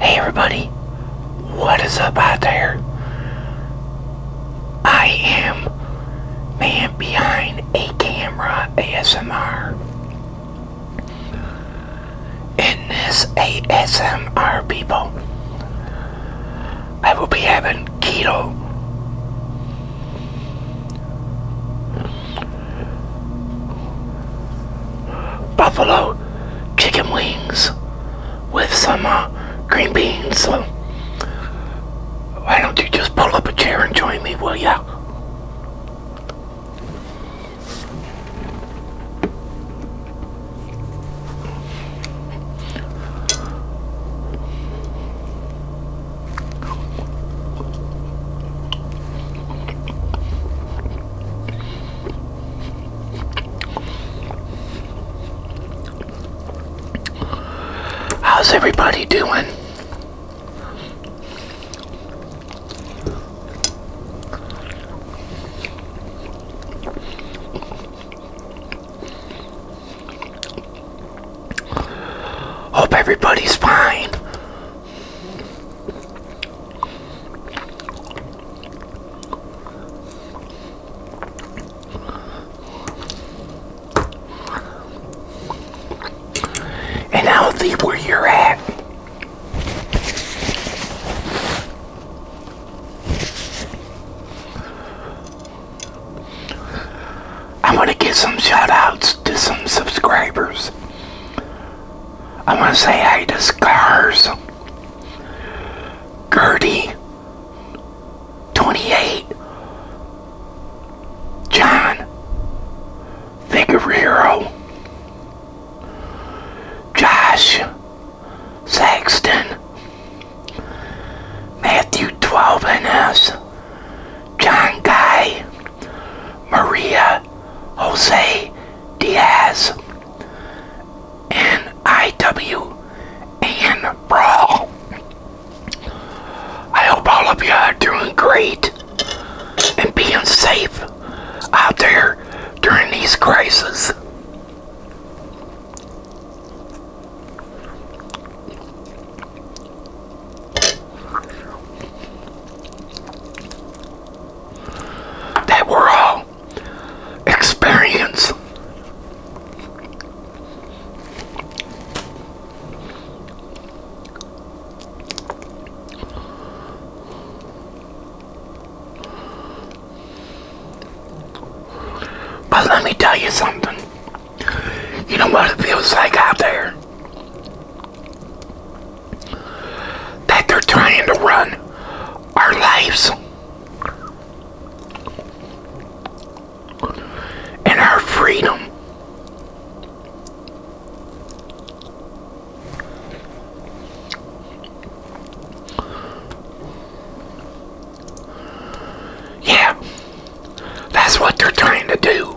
Hey everybody, what is up out there? I am man behind a camera ASMR. In this ASMR people, I will be having keto buffalo chicken wings with some uh, green beans. So why don't you just pull up a chair and join me, will ya? How's everybody doing? Hope everybody's fine. And healthy where you're at. I'm going to give some shout outs to some subscribers I am going to say hi to Scars. Gertie. 28. John. Figueroa. Josh. Saxton. Matthew 12 and us. John Guy. Maria. Jose Diaz. NIW and Brawl. I hope all of you are doing great and being safe out there during these crises that we're all experience, But let me tell you something. You know what it feels like out there? that they're trying to run our lives and our freedom. Yeah, that's what they're trying to do.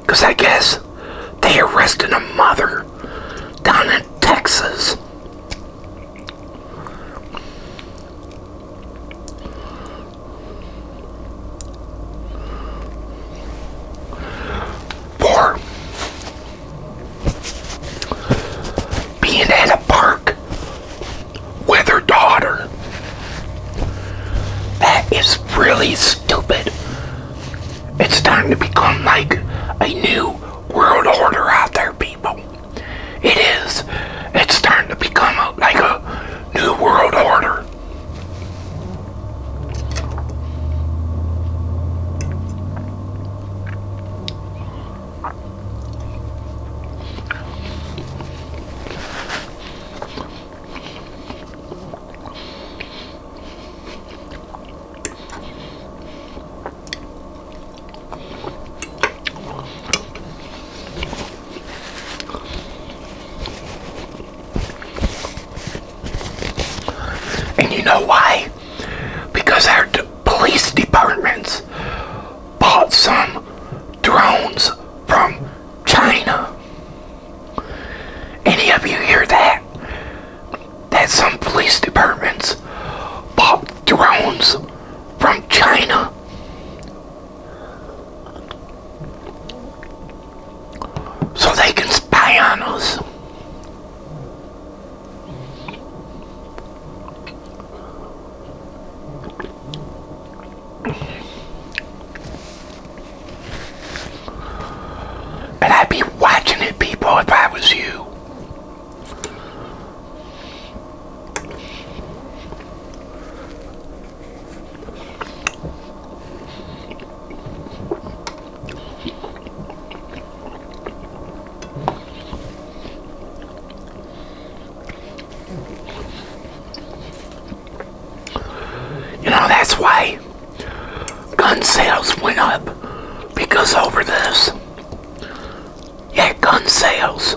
Because I guess they arrested a mother down in Texas. For being at a park with her daughter. That is really stupid. It's starting to become like a new world order out there, people. It is. It's starting to become like a new world order. And you know why? Because our police departments bought some drones from China. Any of you hear that? that some police departments bought drones from China. So they can spy on us. And I'd be watching it, people, if I was you. You know, that's why gun sales went up because over this. Yeah, gun sales.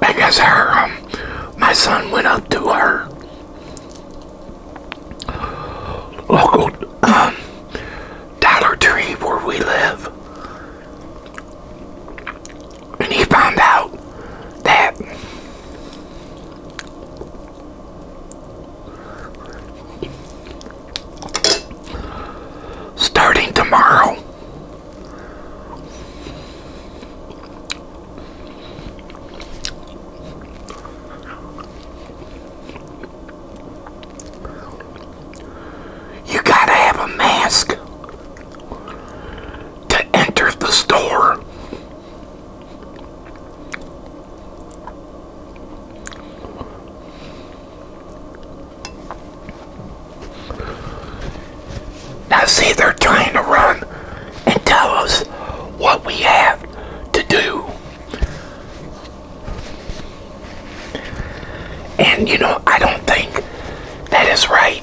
I guess our um, my son went up to her local um, Dollar Tree where we live, and he found out that starting tomorrow you gotta have a mask to enter the store. I see, they're trying to run and tell us what we have to do. And you know, I don't think that is right.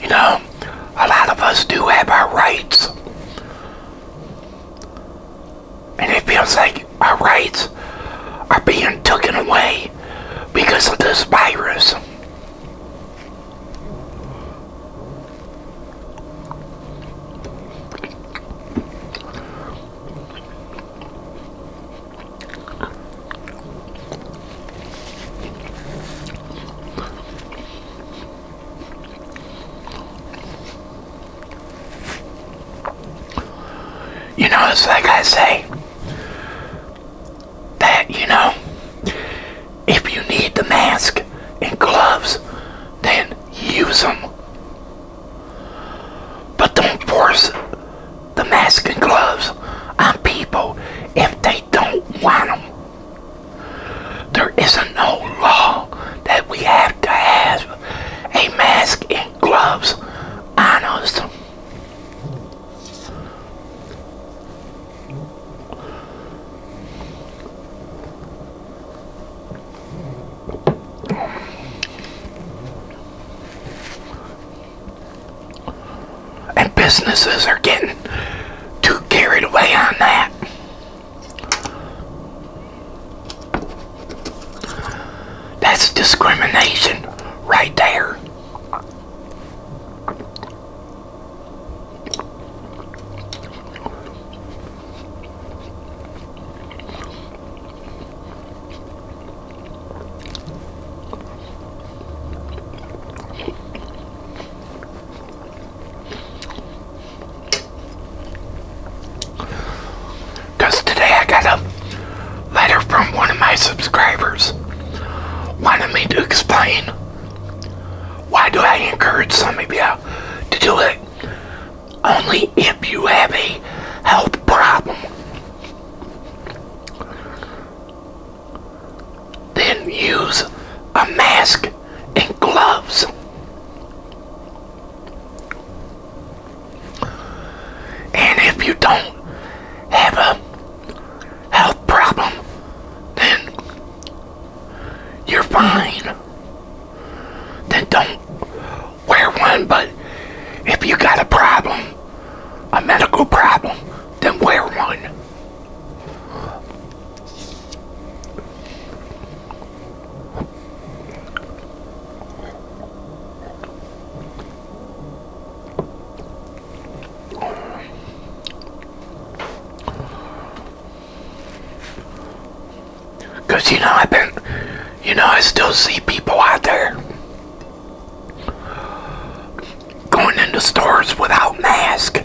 You know, a lot of us do have our rights. And it feels like our rights are being taken away because of this virus. You know, it's like I say that, you know, if you need the mask and gloves, then use them. But don't force the mask and gloves on people if they don't want them. There isn't no law that we have to have a mask and gloves on us. And businesses are getting too carried away on that. That's discrimination right there. Because today I got a letter from one of my subscribers wanted me to explain why do I encourage some of you to do it only if you have a health problem. Then use a mask and gloves. And if you don't have a health problem, then you're fine then don't wear one. But if you got a problem, a medical problem, then wear one. Because, you know, I've been, you know, I still see people out there going into stores without mask.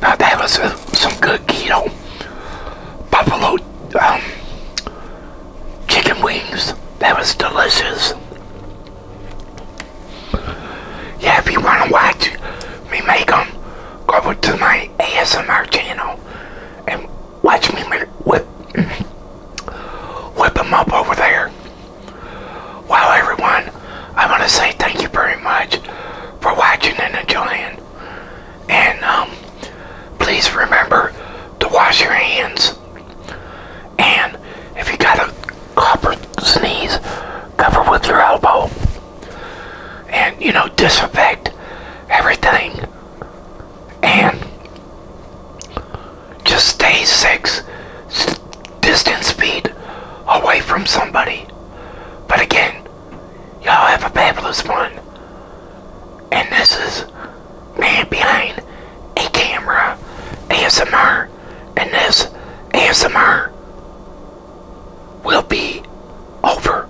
Now that was some good keto buffalo um, chicken wings. That was delicious. Yeah, if you want to watch me make them, go to my ASMR channel and Watch me whip, whip them up over there. Well, everyone, I want to say thank you very much for watching and enjoying. And um, please remember to wash your hands. And if you got a cough or sneeze, cover with your elbow. And, you know, disinfect everything and just stay six distance feet away from somebody. But again, y'all have a fabulous one. And this is Man Behind a Camera ASMR. And this ASMR will be over.